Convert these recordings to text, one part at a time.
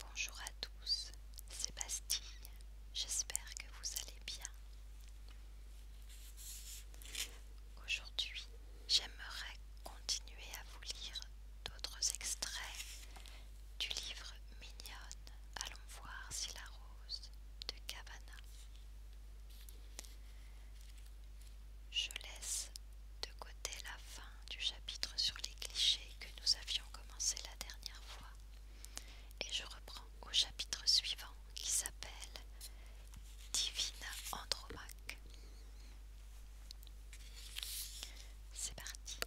Bonjour à tous, c'est Bastille, j'espère que vous allez bien. Aujourd'hui, j'aimerais continuer à vous lire d'autres extraits du livre Mignonne, allons voir si la rose de Cavana. Je laisse de côté la fin du chapitre sur les clichés que nous avions commencé la dernière fois et je reprends au chapitre suivant qui s'appelle Divina Andromaque. C'est parti.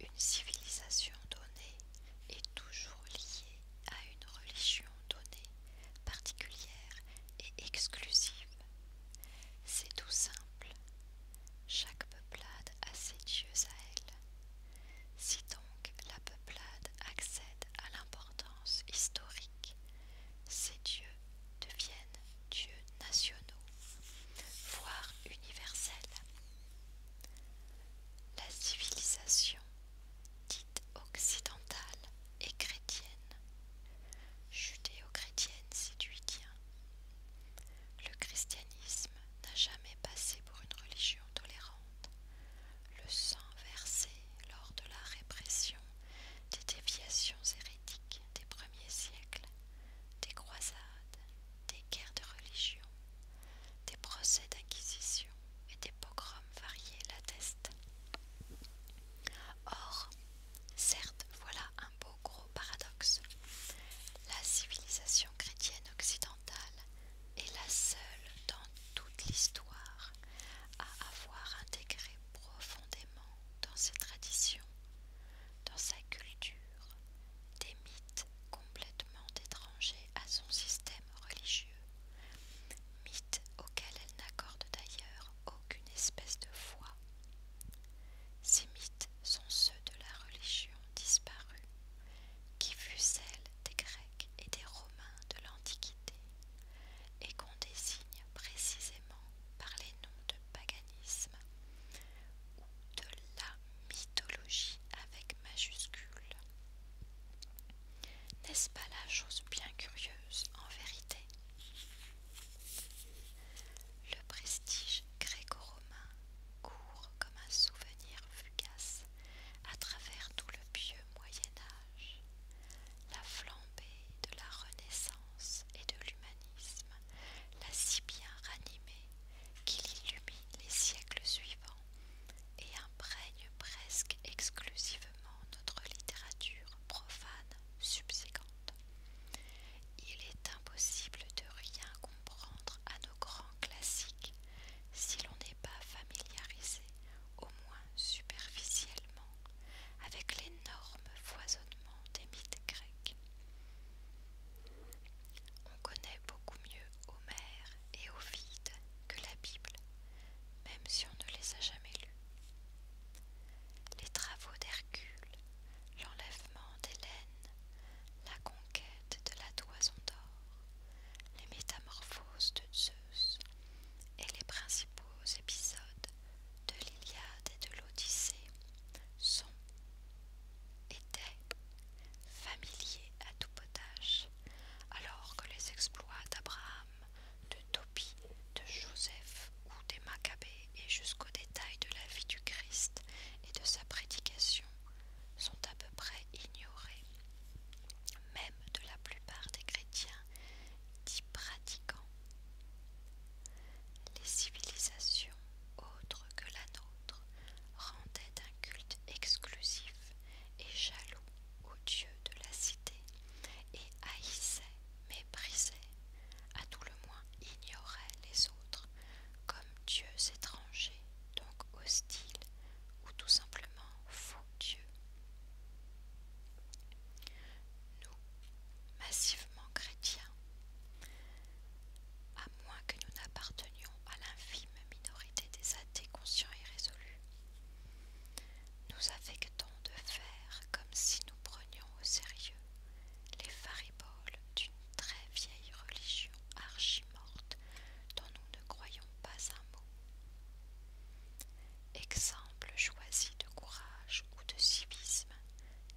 Une civilisation donnée est toujours liée à une religion donnée, particulière et exclusive c'est tout simple. Chaque peuplade a ses dieux à elle. Si donc la peuplade accède à l'importance historique, ces dieux deviennent dieux nationaux, voire universels. La civilisation dite occidentale et chrétienne, judéo-chrétienne si du le christianisme n'a jamais passé pour une religion tolérante. Le sang versé lors de la répression des déviations hérétiques des premiers siècles, des croisades, des guerres de religion, des procès d'inquisition et des pogroms variés l'attestent. Or, certes, voilà un beau gros paradoxe. La civilisation chrétienne occidentale est la seule dans toute l'histoire à avoir intégré profondément dans ses traditions, dans sa culture, des mythes complètement étrangers à son système religieux, mythes auxquels elle n'accorde d'ailleurs aucune espèce de foi. Ces mythes sont ceux de la religion disparue, qui fut celle des Grecs et des Romains de l'Antiquité, et qu'on désigne précisément par les noms de paganisme ou de la mythologie avec majuscule. N'est-ce pas la chose bien curieuse en vérité le prestige gréco-romain court comme un souvenir fugace à travers tout le pieux Moyen Âge. La flambée de la Renaissance et de l'humanisme l'a si bien ranimé qu'il illumine les siècles suivants et imprègne presque exclusivement notre littérature profane subséquente. Il est impossible de rien comprendre à nos grands classiques si l'on n'est pas familiarisé, au moins superficiellement, avec l'énorme foisonnement des mythes grecs. On connaît beaucoup mieux Homère et Ovide que la Bible, même si on ne les a jamais lus. Les travaux d'Hercule, l'enlèvement d'Hélène, la conquête de la toison d'or, les métamorphoses de Zeus et les principaux épisodes de l'Iliade et de l'Odyssée sont, étaient, familiers à tout potage, alors que les exploits d'Abraham, de Tobie, de Joseph ou des Maccabées et jusqu'aux détails de la vie du Christ et de sa prédication sont à peu près ignorés, même de la plupart des chrétiens dits pratiquants. Les civilisations autres que la nôtre rendaient un culte exclusif et jaloux aux dieux de la cité et haïssaient, méprisaient, à tout le moins ignorait les autres, comme dieux étrangers, donc hostiles, ou tout simplement faux dieux. Nous, massivement chrétiens, à moins que nous n'appartenions à l'infime minorité des athées conscients et résolus, nous affectons de faire comme si nous prenions au sérieux les fariboles d'une très vieille religion archimorte dont nous ne croyons pas un mot. Exemples choisis de courage ou de civisme,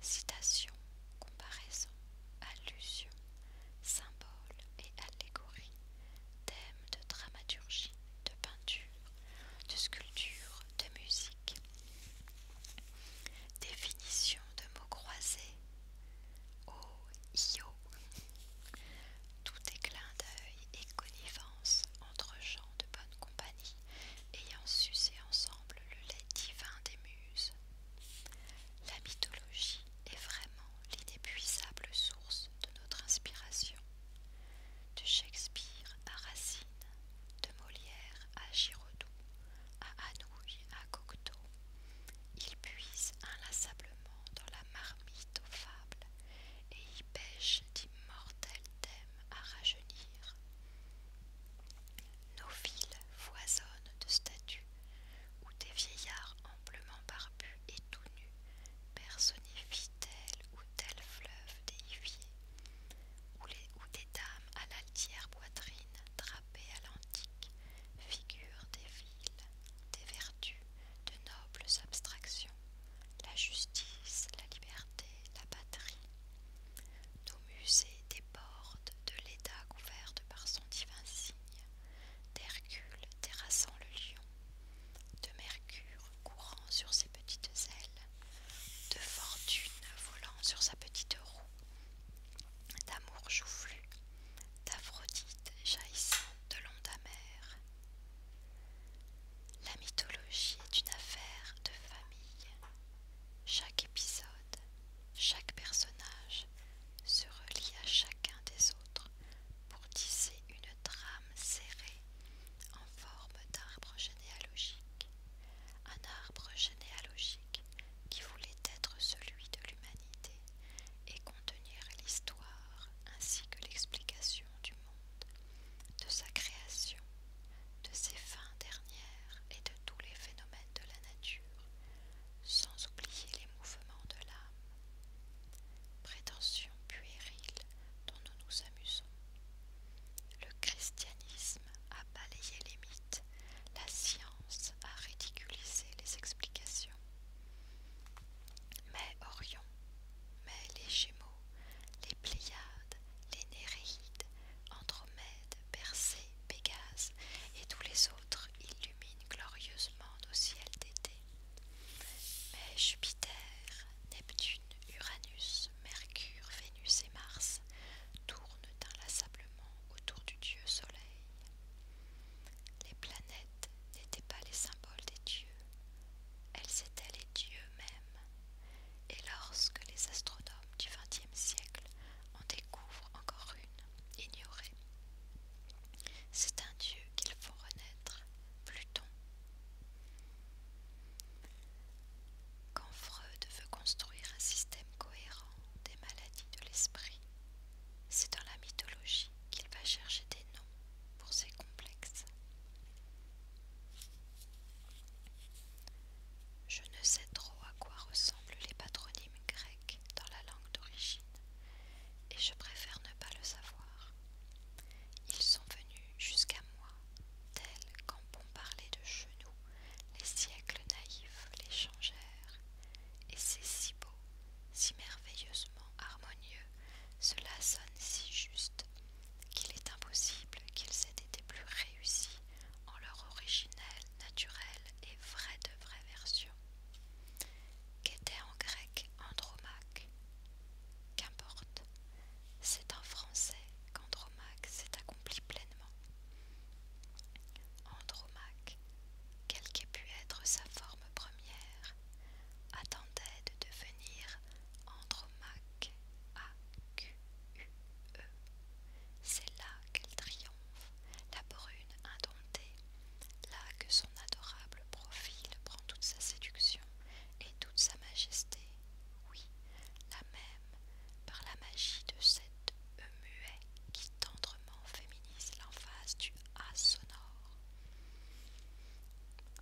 citation, comparaison, allusion, symbole et allégorie, thèmes de dramaturgie, de peinture, de sculpture, de musique Définition de mots croisés. Oh, io. Tout est clin d'œil et connivence entre gens de bonne compagnie ayant sucé ensemble le lait divin des muses. La mythologie est vraiment l'inépuisable source de notre inspiration. De Shakespeare à Racine, de Molière à Giraudoux, à Hanouille à à Cocteau. Il puise inlassablement dans la marmite aux fables et y pêchent d'immortels thèmes à rajeunir. Nos villes foisonnent de statues où des vieillards amplement barbus et tout nus personnifient tel ou tel fleuve déifié, où, les, où des dames à l'altière poitrine et à l'antique figure des villes, des vertus, de nobles abstractions, la justice, la liberté, la patrie. Nos musées débordent de l'État couverte par son divin signe, d'Hercule terrassant le lion, de Mercure courant sur ses petites ailes, de Fortune volant sur sa petite roue, d'amour joufflu, d'Aphrodite jaillissant de l'onde amère. La mythologie est une affaire de famille. Chaque épisode, chaque personnage se relie à chacun des autres pour tisser une trame serrée en forme d'arbre généalogique un arbre généalogique qui voulait être celui de l'humanité et contenir l'histoire ainsi que l'explication du monde, de sa création, de ses fins dernières et de tous les phénomènes de la nature, sans oublier les mouvements de l'âme. Prétention puérile dont nous nous amusons. Le christianisme a balayé les la science a ridiculisé les explications. Mais Orion, mais les Gémeaux, les Pléiades, les Néréides, Andromède, Persée, Pégase et tous les autres illuminent glorieusement nos ciels d'été. Mais Jupiter, Neptune, Uranus, Mercure, Vénus et Mars tournent inlassablement autour du dieu soleil. Les planètes n'étaient pas les symboles des dieux, elles étaient les dieux mêmes. Et lorsque les astronomes du XXe siècle en découvrent encore une, ignorée, c'est un dieu qu'ils font renaître, Pluton. Quand Freud veut construire un système cohérent, des maladies de l'esprit. C'est dans la mythologie qu'il va chercher des noms pour ses complexes. Je ne sais trop à quoi ressemblent les patronymes grecs dans la langue d'origine, et je préfère ne pas le savoir. Ils sont venus jusqu'à moi, tels qu'en bon parler de genoux les siècles naïfs les changèrent, et c'est si beau, si merveilleusement harmonieux, cela sonne si juste, qu'il est impossible qu'ils aient été plus réussis en leur originelle, naturelle et vraie de vraie version. Qu'était en grec Andromaque Qu'importe, c'est en français qu'Andromaque s'est accompli pleinement. Andromaque, quelle qu'ait pu être sa forme première, attendait de devenir Andromaque a e. C'est là qu'elle triomphe, la brune indomptée, là que son adorable profil prend toute sa séduction et toute sa majesté, oui, la même, par la magie de cette euh, qui tendrement féminise l'emphase du A sonore.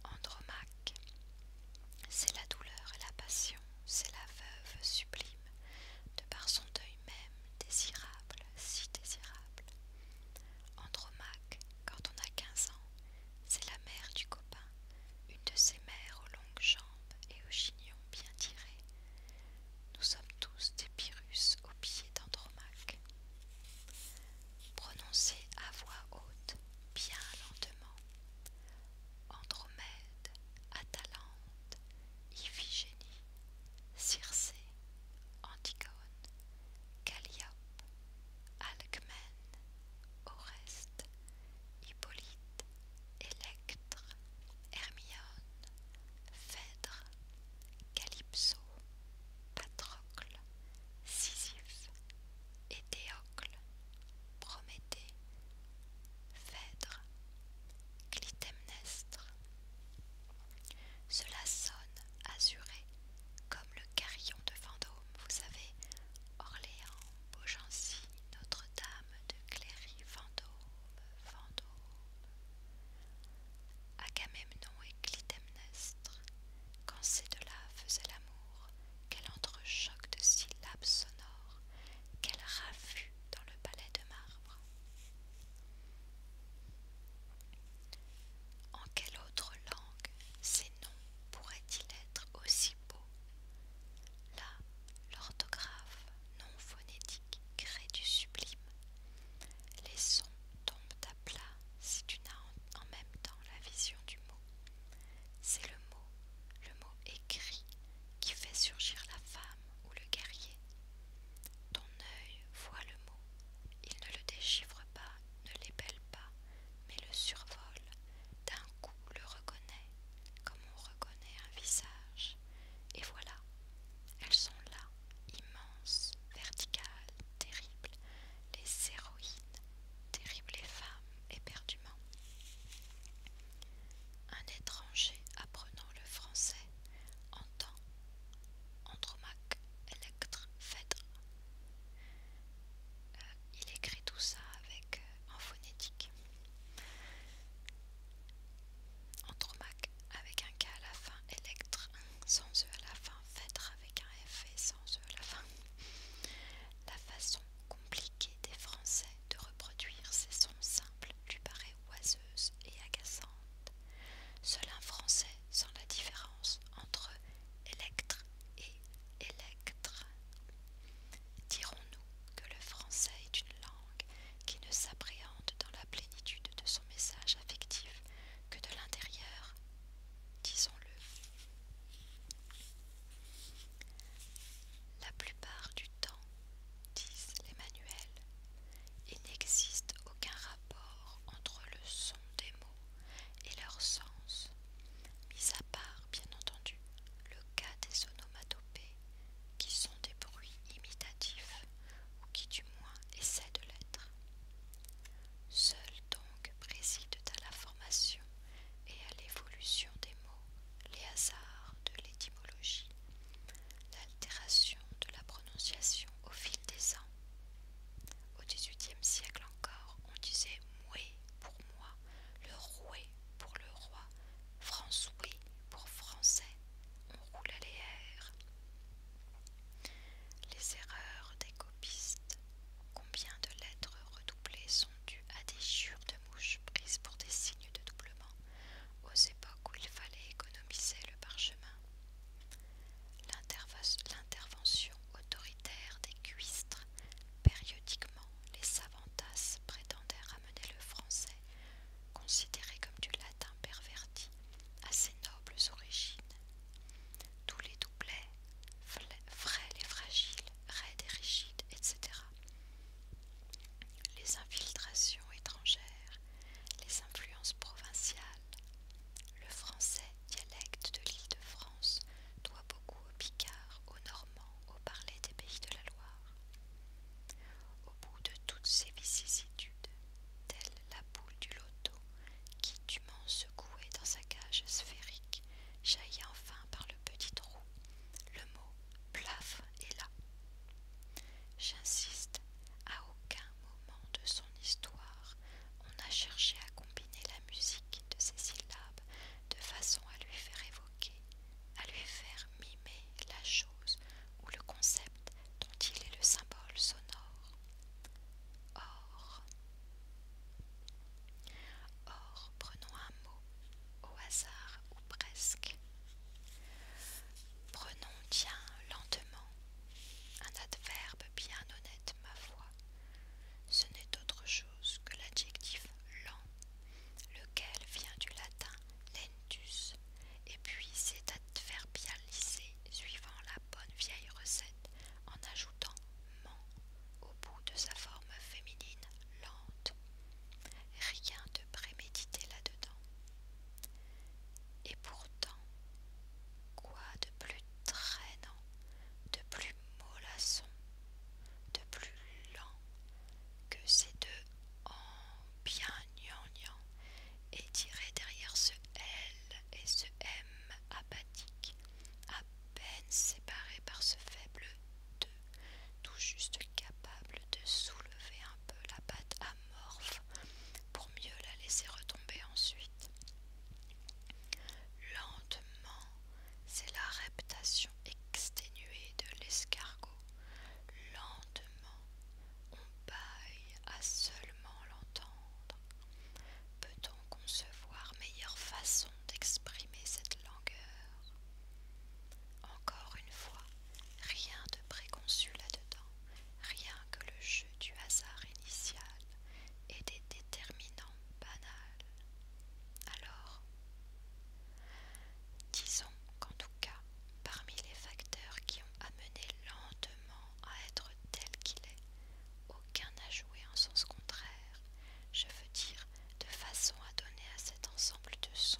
Andromaque, c'est la douleur et la passion, c'est la veuve sublime, de par son deuil même désirable, si désirable. Andromaque, quand on a quinze ans, c'est la mère du copain, une de ces mères aux longues jambes et aux chignons bien tirés, nous sommes tous des Pyrrhus au pied d'Andromaque. Prononcez à voix haute, bien lentement. Andromède, Atalante, Iphigénie, Circé, Antigone, Calliope, Alcmène, Oreste, Hippolyte, Électre, Hermione, Phèdre, Calypso, Patrocle, Sisyphe, Étéocle, Prométhée, Phèdre, Clytemnestre. Cela sonne azuré comme le carillon de Vendôme, vous savez, Orléans, Beaugency, Notre-Dame de Cléry, Vendôme fantôme. Agamemnon et Clytemnestre, quand ces deux-là faisaient l'amour, quel entrechoc de syllabes sonores, quel raffut dans le palais de marbre. En quelle autre langue ces noms pourraient-ils être aussi beaux Là, l'orthographe non phonétique crée du sublime. Les sons tombent à plat si tu n'as en, même temps la vision du mot. C'est le mot, le mot écrit, qui fait surgir la femme ou le guerrier. Ton œil voit le mot, il ne le déchiffre pas, ne l'épelle pas, mais le survole, d'un coup le reconnaît, comme on reconnaît un visage. Et voilà, elles sont là, immenses, verticales, terribles, les héroïnes, terribles les femmes, éperdument. Un étranger apprenant le français entend Andromaque, Electre, Phèdre. Euh, il écrit tout ça avec euh, en phonétique. Mac avec un K à la fin, électre sans E à la fin, faitre avec un F et sans E à la fin. La façon compliquée des Français de reproduire ces sons simples lui paraît oiseuse et agaçante. Seul un Français sent la différence entre électre et Électre. Dirons-nous que le français est une langue qui ne s'appréhende dans la plénitude de son message affectif que de l'intérieur, disons-le. La plupart du temps, disent les manuels, il n'existe aucun rapport entre le son des mots et leur sens, mis à part, bien entendu, le cas des onomatopées qui sont des bruits imitatifs, ou qui du moins essaient de l'être. Seuls donc président à la formation et à l'évolution des mots les hasards de l'étymologie, l'altération de la prononciation au fil des ans. Au XVIIIe siècle encore, on disait moué pour moi, le roué pour le roi, François pour français, on roulait les airs. Les erreurs des copistes. Combien de lettres redoublées sont dues à des chiures de mouches prises pour des signes de doublement aux époques où il fallait économiser le parchemin L'intervention autoritaire des cuistres. Périodiquement, les savantasses prétendaient ramener le français considéré comme du latin perverti à ses nobles origines. Tous les doublets, frêles et fragiles, raides et rigides, etc. Les infiltrations étrangères, les influences provinciales. Le français, dialecte de l'île de France, doit beaucoup aux Picards, aux Normands, aux parler des pays de la Loire bout de toutes ces vicissitudes, telle la boule du loto qui, dûment secouée dans sa cage sphérique, jaillit enfin par le petit trou. Le mot plaf est là. J'insiste, à aucun moment de son histoire on a cherché à combiner la musique de ses syllabes de façon à lui faire évoquer, à lui faire mimer la chose ou le concept dont il est le symbole sonore. Or. Or, prenons un mot au hasard ou presque. Prenons, tiens, lentement, un adverbe bien honnête, ma foi. Ce n'est autre chose que l'adjectif lent, lequel vient du latin et puis c'est à faire suivant la bonne vieille recette en ajoutant ment au bout de sa forme féminine lente. Rien de prémédité là-dedans. Et pourtant, quoi de plus traînant, de plus mollasson, de plus lent que ces deux bien gnangnan et tiré derrière ce L et ce M apathique, à peine séparé par ce faible deux tout juste capable de soulever un peu la pâte amorphe pour mieux la laisser retomber ensuite. Lentement, c'est la reptation exténuée de l'escargot. Lentement, on paille à seulement l'entendre. Peut-on concevoir meilleure façon d'exprimer cette langueur Encore une fois, rien de préconçu là-dedans, rien que le jeu du hasard initial et des déterminants banals. Alors, disons qu'en tout cas, parmi les facteurs qui ont amené lentement à être tel qu'il est, aucun n'a joué en sens contraire, je veux dire de façon à donner à cet ensemble de sons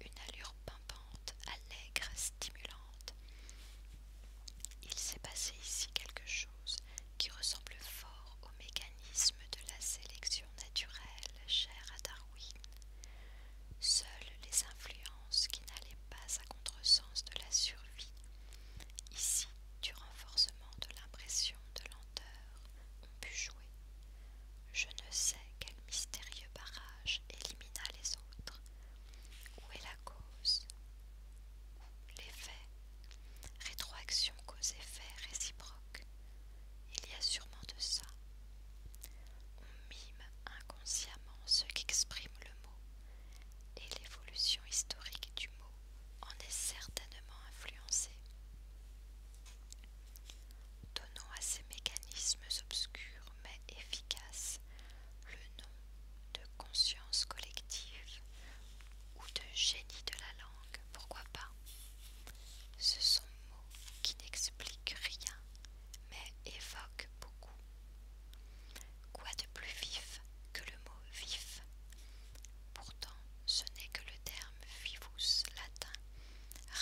une allure pimpante, allègre, stimulante. Il s'est passé ici quelque chose qui ressemble fort au mécanisme de la sélection naturelle chère à Darwin. Seules les influences qui n'allaient pas à contresens de la survie. Ici, du renforcement de l'impression de lenteur, on pu jouer. Je ne sais quel mystérieux barrage élimina les autres. Où est la cause L'effet. Rétroaction cause effet réciproque. Il y a sûrement de ça. On mime inconsciemment ce qu'exprime le mot, et l'évolution historique du mot en est certainement influencée. Donnons à ces mécanismes obscurs mais efficaces le nom de conscience collective ou de génie de la langue, pourquoi pas Ce sont mots qui n'expliquent rien mais évoquent beaucoup. Quoi de plus vif que le mot vif Pourtant, ce n'est que le terme vivus latin,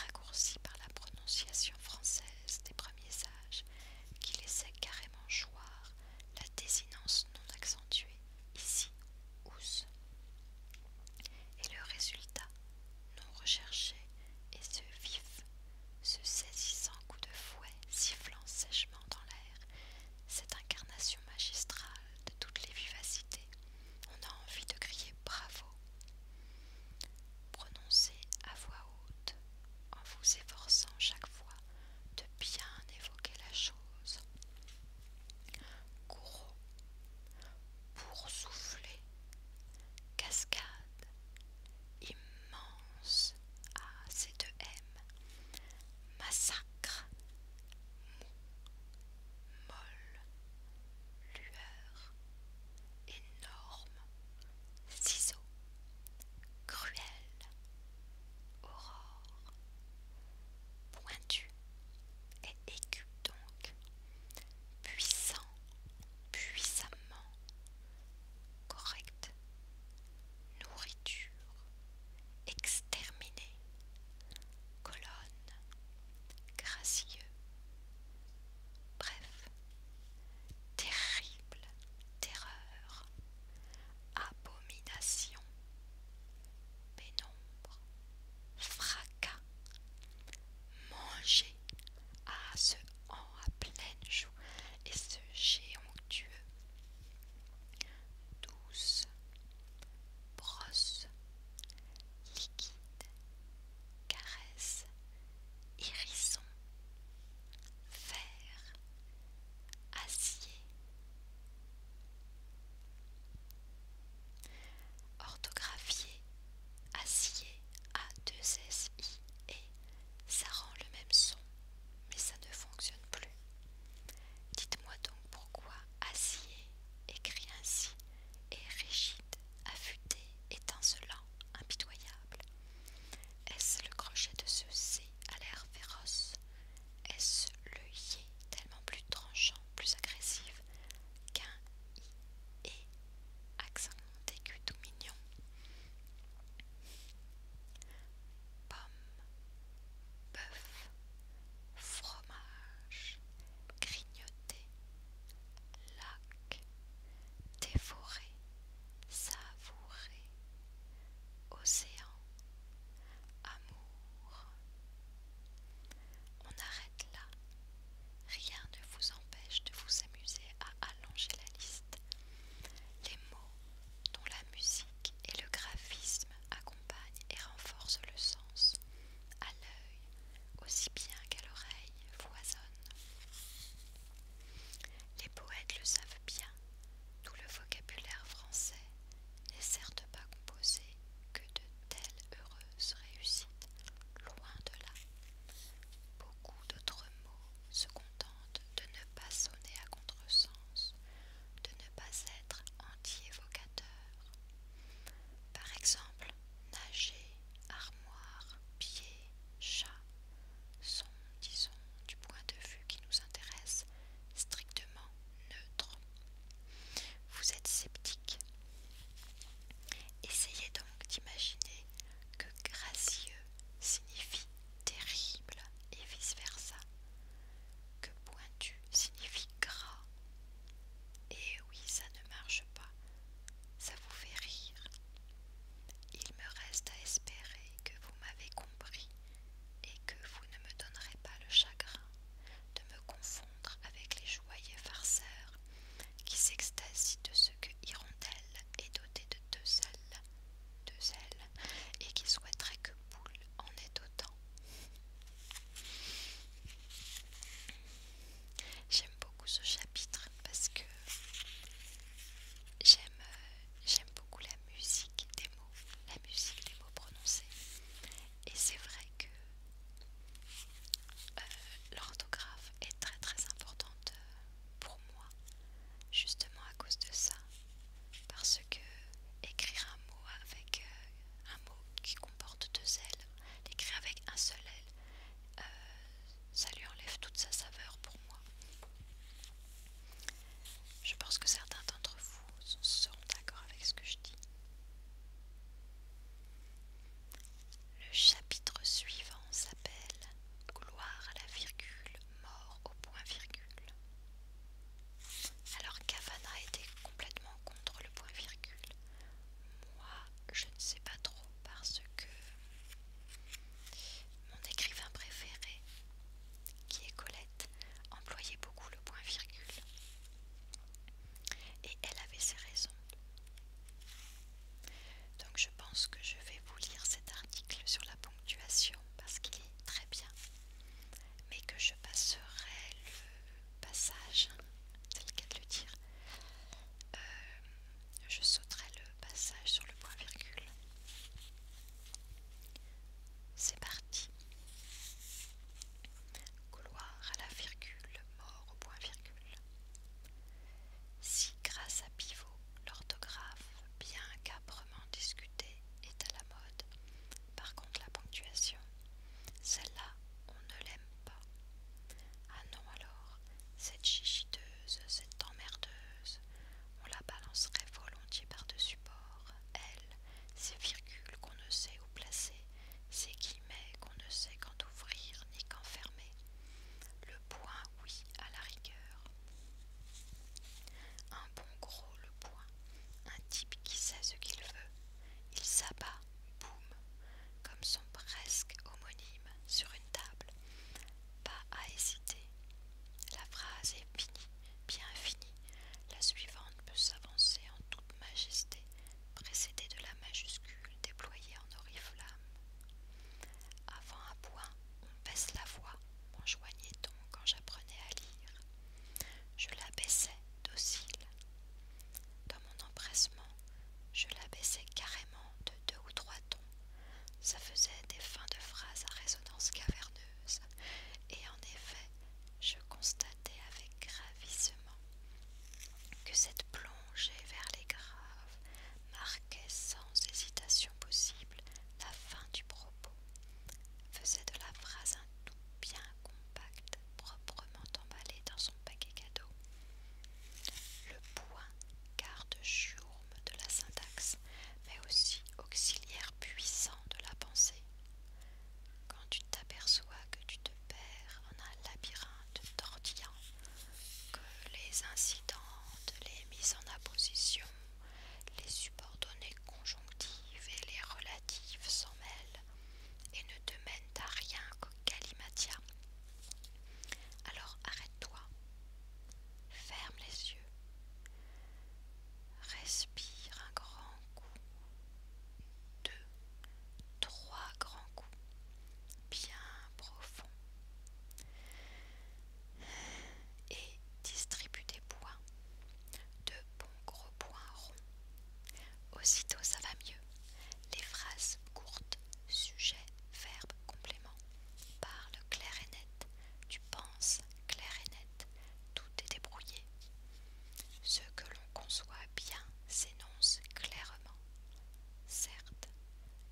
raccourci par la prononciation française des premiers âges, qui laissait carrément choir la désinence non accentuée, ici us. Et le résultat, non recherché, est ce vif ce saisissant coup de fouet, sifflant sèchement dans l'air, cette incarnation magistrale de toutes les vivacités, on a envie de crier bravo. prononcer à voix haute, en vous efforçant chaque fois de bien évoquer la chose. Gouraud, pour souffler, cascade, immense, ah de M, massacre, mou, molle, lueur, énorme, ciseau, cruel, aurore, pointu et aigu donc, puissant, puissamment, correct, nourriture, exterminé, colonne, gracieux, bref, terrible, terreur, abomination, pénombre, fracas, manger, à ce en à pleine joue et ce géant Dieu, Douce, brosse, liquide, caresse, hérisson, fer, acier. Orthographié, acier, a deux s, i, et ça rend le même son mais ça ne fonctionne plus. Dites-moi donc pourquoi Acier écrit ainsi est rigide, affûté, étincelant, impitoyable. Est-ce le crochet de ce C à l'air féroce Est-ce le Y tellement plus tranchant, plus agressif qu'un I et accent aigu tout mignon pommes, bœuf, fromage, grignoter, lac, dévorer, savourer, océan, amour. On arrête là. Rien ne vous empêche de vous amuser à allonger la liste. Les mots dont la musique et le graphisme accompagnent et renforcent le sens, à l'œil aussi bien qu'à l'oreille foisonnent. Les poètes le savent bien, tout le vocabulaire français n'est certes pas composé que de telles heureuses réussites, loin de là. Beaucoup d'autres mots se contente de ne pas sonner à contresens, de ne pas être anti-évocateur. Par exemple, nager, armoire, pied, chat sont, disons, du point de vue qui nous intéresse, strictement neutres. Vous êtes sceptique. Essayez donc d'imaginer que gracieux signifie terrible et vice-versa, que pointu signifie gras. Et oui, ça ne marche pas, ça vous fait rire. Il me reste à espérer que vous m'avez compris et que vous ne me donnerez pas le chagrin de me confondre avec les joyeux farceurs qui s'extasient de ce que Hirondelle est dotée de deux ailes de zèle et qui souhaiterait que Boule en ait autant. J'aime beaucoup ce chapitre parce que j'aime beaucoup la musique des mots, la musique des mots prononcés. Et c'est vrai que euh, l'orthographe est très très importante euh, pour moi, justement à cause de ça, parce que écrire un mot avec euh, un mot qui comporte deux ailes, l'écrire avec un seul aile, euh, ça lui enlève toute sa saveur pour moi. Je pense que certains d'entre vous seront d'accord avec ce que je dis. Le chapitre suivant s'appelle Gloire à la virgule, mort au point virgule. Alors Cavana était complètement contre le point virgule. Moi, je ne sais pas trop parce que mon écrivain préféré, qui est Colette, employait beaucoup le point virgule. Et elle avait ses raisons. Donc je pense que je vais vous lire cet article sur la ponctuation parce qu'il est très bien mais que je passerai le passage, tel qu'elle le dire, euh, je sauterai le passage sur le point virgule. C'est parti. Gloire à la virgule, mort au point virgule. Si grâce à pivot, l'orthographe, bien capre discuter est à la mode. Par contre, la ponctuation, celle-là, on ne l'aime pas. Ah non alors, cette chichiteuse, cette emmerdeuse, on la balancerait volontiers par-dessus bord. Elle, ces virgules qu'on ne sait où placer, ces guillemets qu'on ne sait quand ouvrir ni quand fermer. Le point, oui, à la rigueur, un bon gros le point, un type qui sait ce qu'il veut. Il s'abat, boum, comme son presque homonyme sur une table. Pas à hésiter. La phrase est finie, bien finie. La suivante peut s'avancer en toute majesté, précédée de la majuscule déployée en oriflamme. Avant un point, on baisse la voix, m'enjoignait-on quand j'apprenais à lire. Je la l'abaissais docile. Dans mon empressement, je la l'abaissais carrément de deux ou trois tons. Ça faisait des fins de phrases à résonance caverneuse, et en effet, je constatais avec gravissement que cette plongée vers les graves marquait sans hésitation possible la fin du propos faisait de la phrase un tout bien compact, proprement emballé dans son paquet cadeau. Le point, garde jourme de la syntaxe, mais aussi auxiliaire puissant de la pensée. Quand tu t'aperçois que tu te perds en un labyrinthe tortillant, que les te les mises en apposition, les subordonnées conjonctives et les relatives s'en mêlent et ne te mènent à rien qu'au kalimatia. Alors arrête-toi, ferme les yeux, respire un grand coup, deux, trois grands coups, bien profond, Et distribue tes poids de bons gros points ronds. Aussitôt ça va mieux. Les phrases courtes, sujet, verbe, complément, Parlent clair et net, tu penses clair et net, tout est débrouillé. Ce que l'on conçoit bien s'énonce clairement. Certes,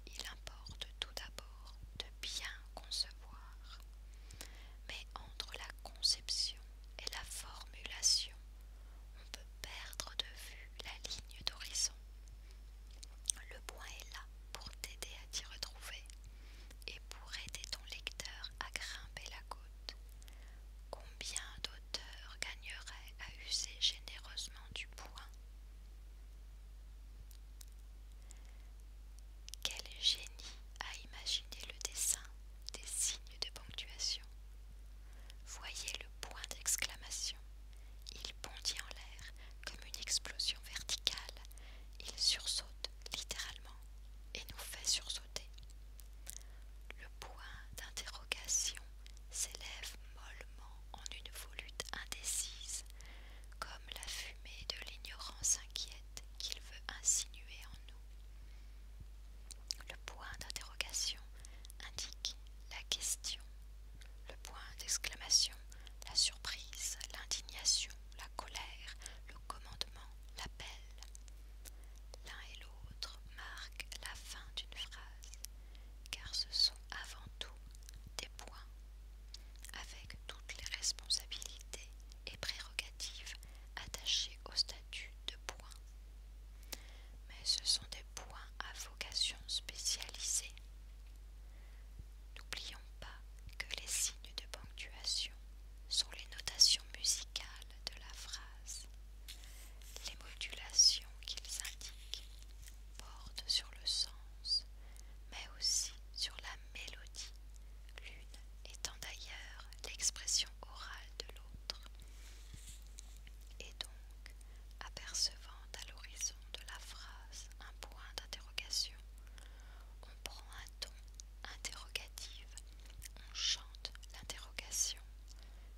il importe tout d'abord de bien concevoir, mais entre la conception et la formulation, on peut perdre de vue la ligne d'horizon. Le point est là pour t'aider à t'y retrouver et pour aider ton lecteur à grimper la côte. Combien d'auteurs gagneraient à user généreusement du point quel génie a imaginé le dessin des signes de ponctuation Voyez le point d'exclamation. Il bondit en l'air comme une explosion verticale. Il sursaute littéralement et nous fait sursauter. Le point d'interrogation s'élève mollement en une volute indécise, comme la fumée de l'ignorance inquiète qu'il veut insinuer en nous. Le point d'interrogation indique la question. Le point d'exclamation, la surprise, l'indignation, la colère, le commandement, l'appel. L'un et l'autre marquent la fin d'une phrase, car ce sont avant tout des points, avec toutes les responsabilités et prérogatives attachés au statut de point. Mais ce sont des points à vocation spécialisée. N'oublions pas que les signes de ponctuation sont les notations musicales de la phrase. Les modulations qu'ils indiquent portent sur le sens, mais aussi sur la mélodie l'une étant d'ailleurs l'expression orale de l'autre. Et donc, apercevant à l'horizon de la phrase un point d'interrogation, on prend un ton interrogatif, on chante l'interrogation,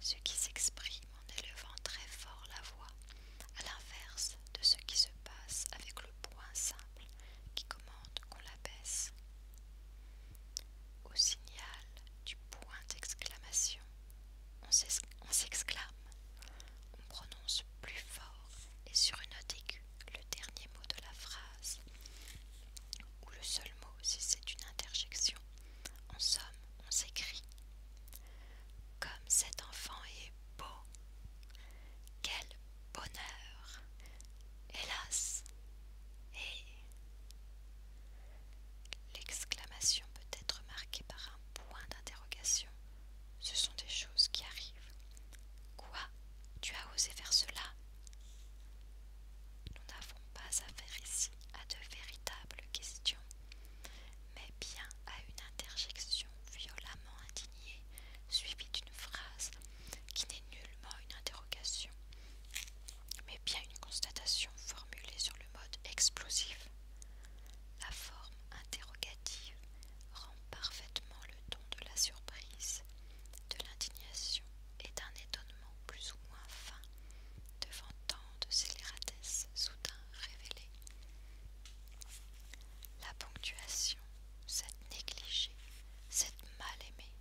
ce qui s'exprime en élevant très fort la voix, à l'inverse de ce qui se passe avec le point simple qui commande qu'on la baisse. Au signal du point d'exclamation, on s'exclame, on prononce plus fort et sur une note aiguë le dernier mot de la phrase, ou le seul mot si c'est une interjection. En somme, on s'écrit. Comme cet enfant est beau bonheur, hélas, et l'exclamation peut être marquée par un point d'interrogation. Ce sont des choses qui arrivent. Quoi Tu as osé faire cela Nous n'avons pas affaire ici à de véritables questions, mais bien à une interjection violemment indignée, suivie d'une phrase qui n'est nullement une interrogation, mais bien une constatation formulée sur le mode explosif. La forme interrogative rend parfaitement le ton de la surprise, de l'indignation et d'un étonnement plus ou moins fin devant tant de scélératesse soudain révélées. La ponctuation, cette négligée, cette mal aimée,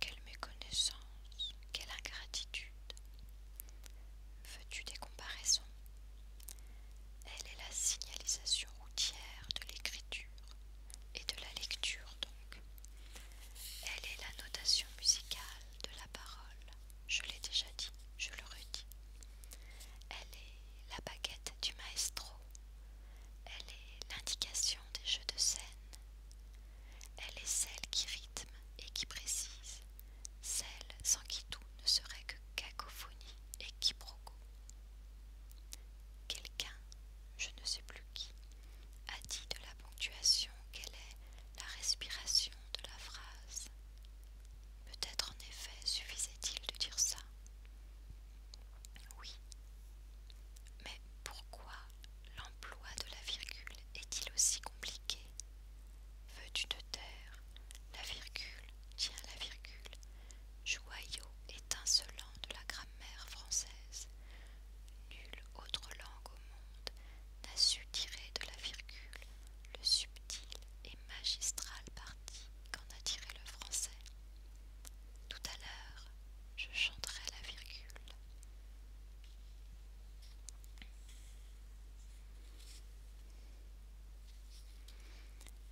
quelle méconnaissance, quelle ingratitude. Veux-tu des comparaisons Elle est la signalisation routière de l'écriture et de la lecture donc. Elle est la notation musicale de la parole. Je l'ai déjà dit, je le redis. Elle est la baguette du maestro. Elle est l'indication des jeux de scène. Elle est celle qui rythme et qui précise, celle sans qui tout ne serait que cacophonie et quiproquo. Quelqu'un, je ne sais plus qui, a dit de la ponctuation qu'elle est la respiration de la phrase. Peut-être en effet suffisait-il de dire ça, oui. Mais pourquoi l'emploi de la virgule est-il aussi compliqué Veux-tu te taire La virgule, tient la virgule, joyau étincelant de la grammaire française. Nulle autre langue au monde n'a su tirer de la virgule le subtil et magistral parti qu'en a tiré le français. Tout à l'heure, je chanterai la virgule.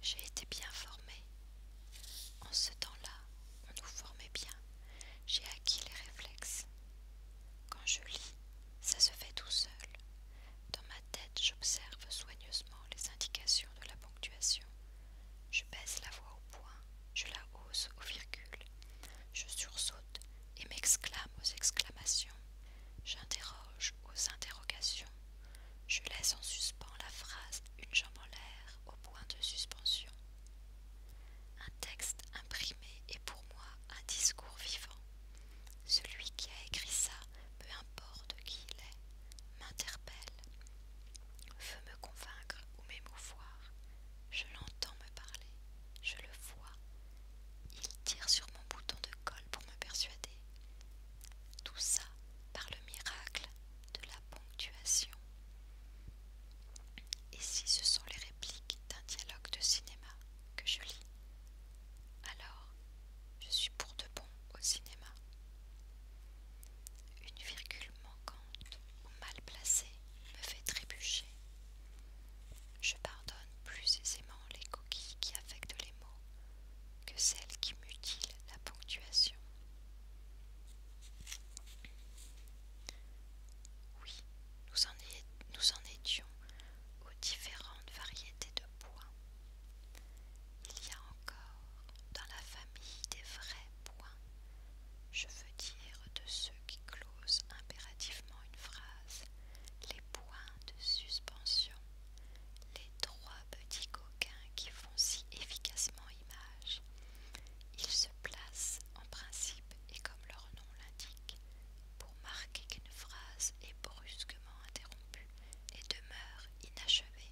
J'ai été bien formée. En ce temps-là, on nous formait bien. J'ai acquis les réflexes. Quand je lis, ça se fait tout seul. Dans ma tête, j'observe soigneusement les indications de la ponctuation je baisse la voix au point, je la hausse au virgule, je sursaute et m'exclame aux exclamations, j'interroge aux interrogations, je laisse en suspens la phrase une jambe en l'air au point de suspension. Un texte imprimé est pour moi un discours vivant. Celui qui a écrit ça, peu importe qui il est, m'interpelle veut me convaincre ou m'émouvoir. Je l'entends me parler, je le vois. Il tire sur mon bouton de colle pour me persuader. Tout ça par le miracle de la ponctuation. Et si ce sont les répliques d'un dialogue de cinéma que je lis, alors je suis pour de bon au cinéma. Une virgule manquante ou mal placée me fait trébucher. Je pardonne plus aisément les coquilles qui affectent les mots que celles qui mutilent la ponctuation. Oui, nous en, étions aux différentes variétés de points. Il y a encore dans la famille des vrais points je veux dire de ceux qui closent impérativement une phrase les points de suspension, les trois petits coquins qui font si efficacement image. Ils se placent en principe et comme leur nom l'indique, pour marquer qu'une phrase est brusquement interrompue et demeure inachevée.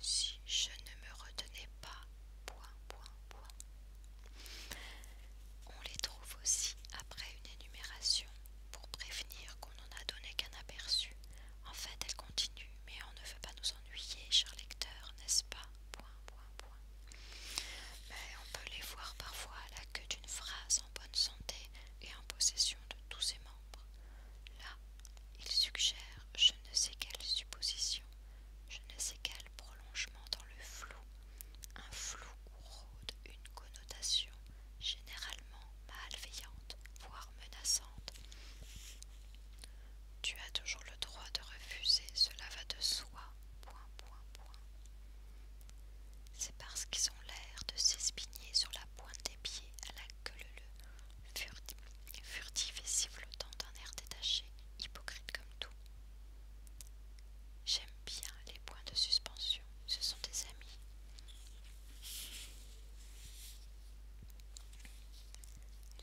Si je ne me retenais pas on les trouve aussi après une énumération pour prévenir qu'on n'en a donné qu'un aperçu. En fait, elle continue, mais on ne veut pas nous ennuyer, cher lecteur, n'est-ce pas Mais on peut les voir parfois à la queue d'une phrase en bonne santé et en possession de tous ses membres. Il suggère je ne sais quelle supposition, je ne sais quel prolongement dans le flou, un flou où rôde une connotation généralement malveillante, voire menaçante. Tu as toujours le droit de refuser, cela va de soi. Point, point, point. C'est parce qu'ils ont l'air de s'espigner sur la pointe des pieds à la queue furtive furtif et sifflotant d'un air détaché, hypocrite comme tout. J'aime bien les points de suspension, ce sont des amis.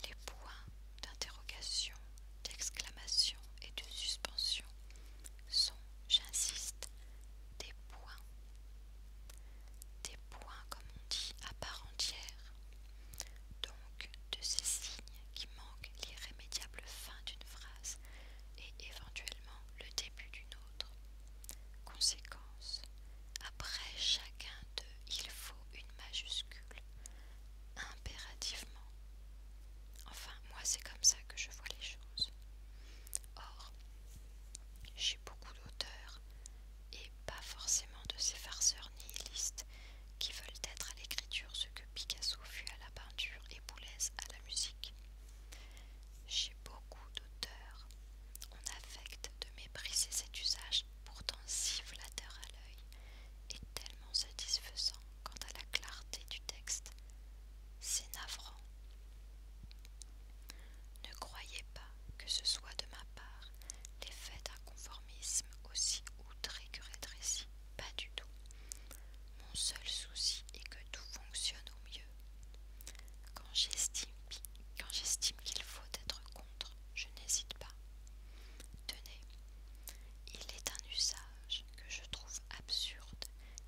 Les points d'interrogation, d'exclamation et de suspension sont, j'insiste, des points. Des points, comme on dit, à part entière donc de ces signes qui manquent l'irrémédiable fin d'une phrase et éventuellement le début d'une autre. Conséquence, après chacun d'eux, il faut une majuscule, impérativement. Enfin, moi c'est comme ça que je vois les choses. Or, j'ai beaucoup d'auteurs, et pas forcément de ces farceurs nihilistes qui veulent être à l'écriture ce que Picasso fut à la peinture et Boulez à la musique. Chez beaucoup d'auteurs, on affecte de mépriser cet usage pourtant si flatteur à l'œil et tellement satisfaisant quant à la clarté du texte. C'est navrant. Ne croyez pas que ce soit de ma part l'effet d'un conformisme aussi outré que rétréci, pas du tout. Mon seul souci est que tout fonctionne au mieux. Quand j'estime qu'il faut être contre, je n'hésite pas. Tenez, il est un usage que je trouve absurde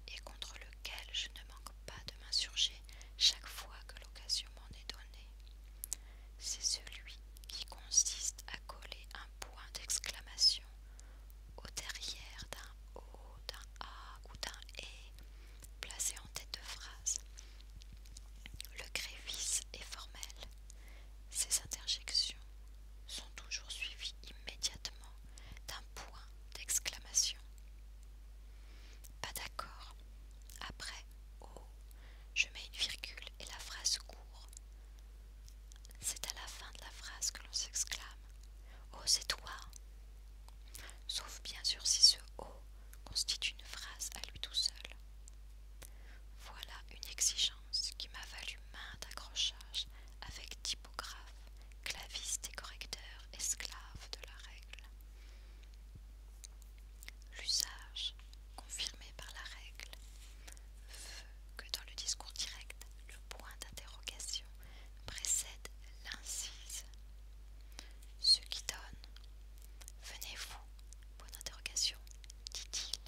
et contre lequel je ne manque pas de m'insurger chaque fois que l'occasion m'en est donnée. C'est celui qui consiste à coller un point d'exclamation au derrière d'un O, d'un A ou d'un E placé en tête de phrase. Le grévis est formel. Ces interjections sont toujours suivies immédiatement d'un point d'exclamation. Pas d'accord. Après O, je mets une virgule et la phrase court. C'est à la fin de la phrase que l'on s'exclame Oh, c'est toi Sauf bien sûr si ce Oh constitue une phrase à lui tout seul. Voilà une exigence qui m'a valu main d'accrochage avec typographe, claviste et correcteur, esclaves de la règle. L'usage, confirmé par la règle, veut que dans le discours direct, le point d'interrogation précède l'incise. Ce qui donne Venez-vous Point d'interrogation, dit-il,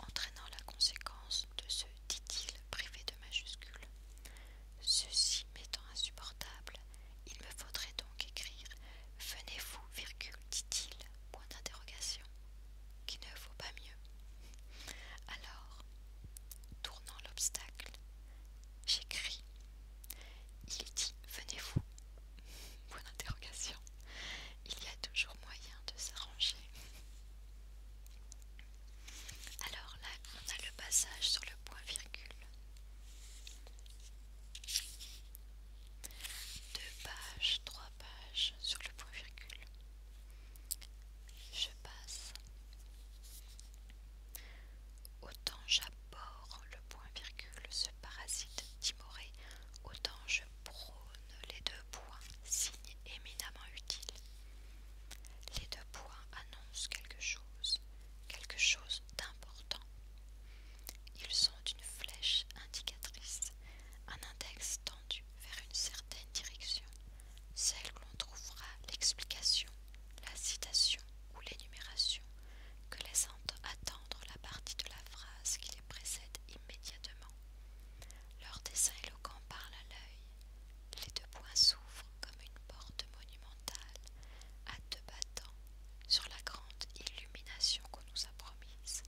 entraînant la conséquence de ce dit-il privé de majuscule. Ceci m'étant insupportable, il me faudrait donc écrire Venez-vous, dit-il, Point d'interrogation. Qui ne vaut pas mieux. Alors, tournant l'obstacle, j'écris. Il dit Venez-vous. Point d'interrogation. Il y a toujours moyen de s'arranger. Alors là, on a le passage sur le point virgule. Deux pages, trois page sur le point virgule. Je passe. Autant j'aborde le point virgule, ce parasite timoré, autant je prône les deux points, signe éminemment utile. Les deux points annoncent quelque chose, quelque chose d'important. Ils sont une flèche indicatrice, un index tendu vers une certaine direction, celle où l'on trouvera l'explication, la citation ou l'énumération que laissant attendre la partie de la phrase qui les précède immédiatement. Leur dessin éloquent parle à l'œil. Les deux points s'ouvrent comme une porte monumentale à deux battants sur la grande illumination qu'on nous a promise.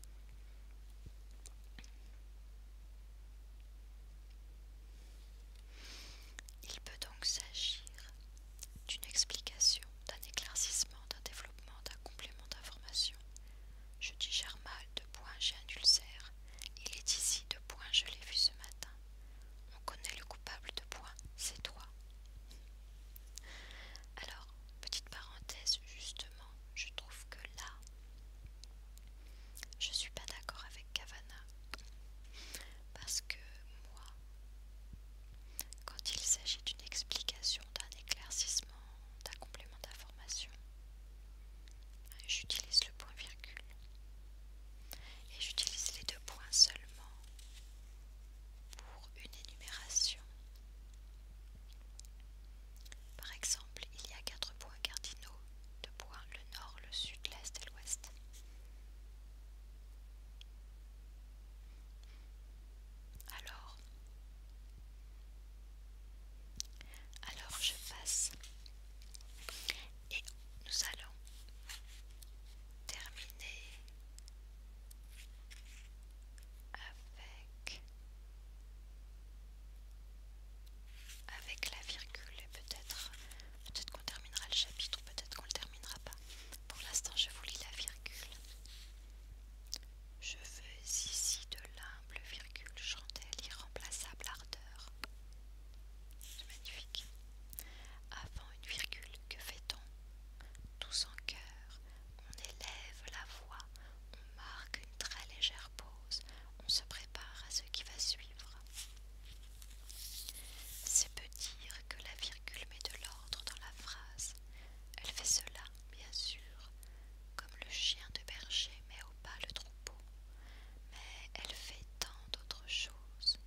Il peut donc s'agir d'une explication, d'un éclaircissement, d'un développement, d'un complément d'information. Je digère mal, de point j'ai un ulcère. Il est ici, de point je l'ai vu ce matin. On connaît le coupable de point, c'est toi. Alors, petite parenthèse, justement, je trouve que là, je ne suis pas d'accord avec Cavana. Parce que moi, quand il s'agit d'une explication, d'un éclaircissement, d'un complément d'information, j'utilise le point virgule. Et j'utilise les deux points seulement pour une énumération par exemple, il y a quatre points cardinaux de points le nord, le sud, l'est et l'ouest. Alors, alors je passe et nous allons terminer avec, avec la virgule et peut-être peut qu'on terminera le chapitre, peut-être qu'on ne le terminera pas. Pour l'instant, je vous lis la virgule. Je veux ici de l'humble virgule chandelle irremplaçable ardeur. C'est magnifique. Avant une virgule, que fait-on Tous en cœur, on élève la voix, on marque une très légère pause, on se prépare à ce qui va suivre. C'est peu dire que la virgule met de l'ordre dans la phrase. Elle fait cela, bien sûr, comme le chien de berger met au pas le troupeau, mais elle fait tant d'autres choses.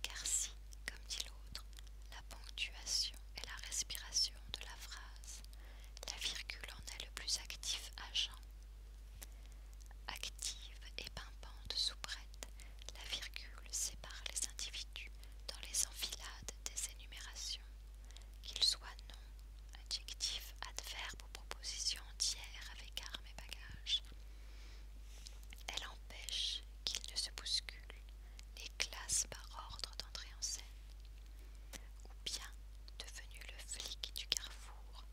Car si, comme dit l'autre, la ponctuation est la respiration de la phrase. La virgule en est le plus actif agent. Active et pimpante prête, la virgule sépare les individus dans les enfilades des énumérations, qu'ils soient noms, adjectifs, adverbes ou propositions entières avec armes et bagages. Elle empêche qu'ils ne se bousculent, classe par ordre d'entrée en scène. Ou bien, devenue le flic du carrefour,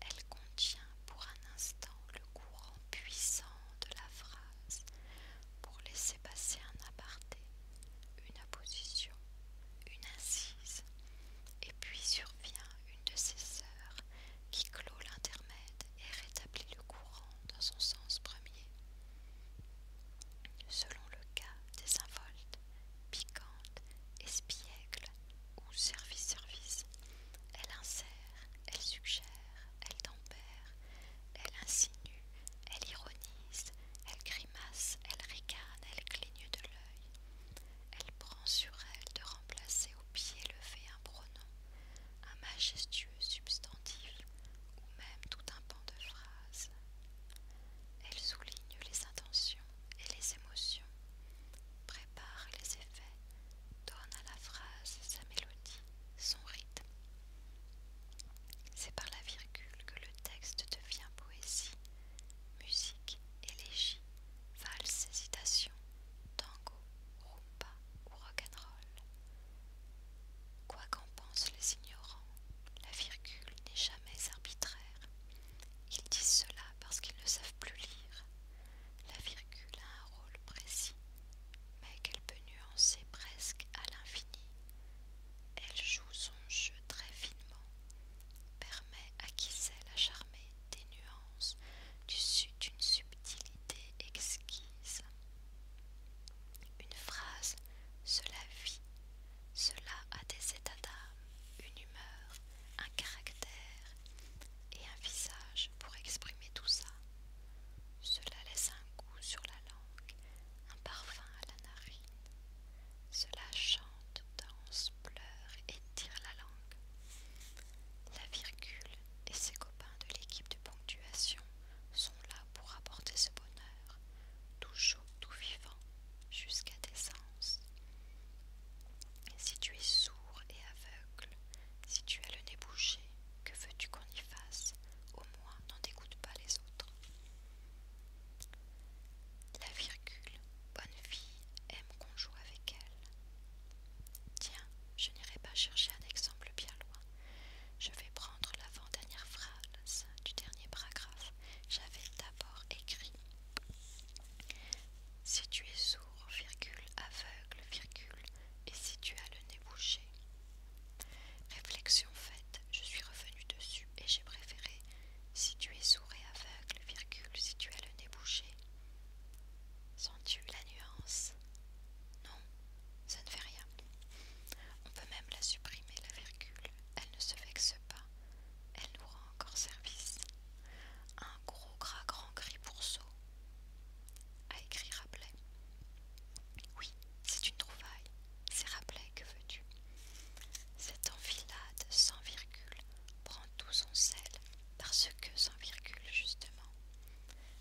elle contient pour un instant le courant puissant de la phrase pour laisser passer un aparté, une opposition, une incise, et puis survient une de ses sœurs qui clôt l'intermède et rétablit le courant dans son sens premier. Selon le cas des involtes, piquante, espiègle ou service-service. Elle insère, elle suggère, elle tempère, elle insinue, elle ironise, elle grimace, elle ricane, elle cligne de l'œil. Elle prend sur elle de remplacer au pied levé un pronom, un majestueux substantif ou même tout un pan de phrase. Elle souligne les intentions et les émotions, prépare les effets, donne à la phrase sa mélodie, son rythme. C'est par la virgule que le texte devient poésie, musique, élégie, valse, hésitation, tango, rumba ou rock'n'roll. Quoi qu'en les ignorants, la virgule n'est jamais arbitraire. Ils disent cela parce qu'ils ne savent plus lire. La virgule a un rôle précis, mais qu'elle peut nuancer presque à l'infini. Elle joue son jeu très finement, permet à qui sait la charmer des nuances d'une subtilité exquise. Une phrase, cela vit, cela a des états d'âme, une humeur, un caractère et un visage pour exprimer tout ça. Cela laisse un goût sur la langue, un parfum à la narine. Cela chante, danse, pleure et tire la langue. La virgule et ses copains de l'équipe de ponctuation sont là pour apporter ce bonheur, tout vivant jusqu'à tes sens. Si tu es sourd et aveugle, si tu as le nez bouché, que veux-tu qu'on y fasse Au moins, n'en dégoûte pas les autres. La virgule, bonne fille, aime qu'on joue avec elle. Tiens, je n'irai pas chercher un exemple bien loin. Je vais prendre l'avant-dernière phrase du dernier paragraphe j'avais d'abord écrit Si tu es sourd, virgule, aveugle, virgule, et si tu as le nez bouché. Réflexion faite, je suis revenue dessus et j'ai préféré Si tu es sourd et aveugle, virgule, si tu as le nez bouché. Sens-tu la nuance Non, ça ne fait rien. On peut même la supprimer, la virgule, elle ne se vexe pas elle nous rend encore service. Un gros gras grand gris pourceau, a écrit Rabelais. Oui, c'est une trouvaille, c'est Rabelais, que veux-tu Cette enfilade sans virgule prend tout son sel, parce que sans virgule, justement.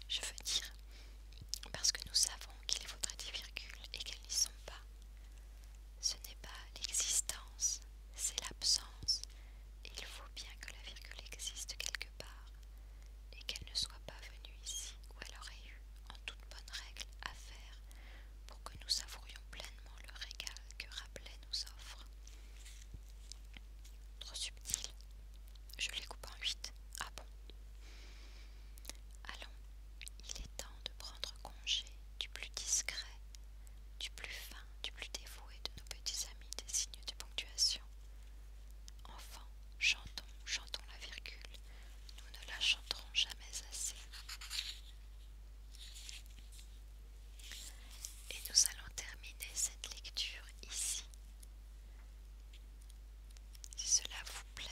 Je veux dire, parce que nous savons qu'il faudrait des virgules et qu'elles n'y sont pas. Ce n'est pas l'existence, c'est l'absence. Il faut bien que la virgule existe quelque part et qu'elle ne soit pas venue ici où elle aurait eu, en toute bonne règle, à faire pour que nous savourions pleinement le régal que Rabelais nous offre. Trop subtil. Je les coupe en huit. Ah bon Allons, il est temps de prendre congé du plus discret, du plus fin, du plus dévoué de nos petits amis des signes de ponctuation. Enfin, chantons, chantons la virgule, nous ne la chanterons jamais assez. Et nous allons terminer cette lecture ici. Si cela vous plaît,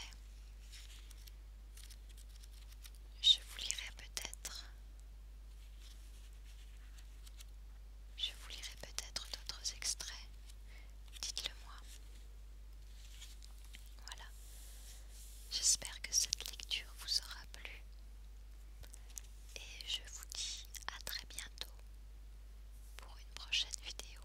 je vous lirai peut-être. Je vous lirai peut-être d'autres extraits. Dites-le moi. Voilà. J'espère que cette lecture vous aura plu. Et je vous dis à très bientôt pour une prochaine vidéo.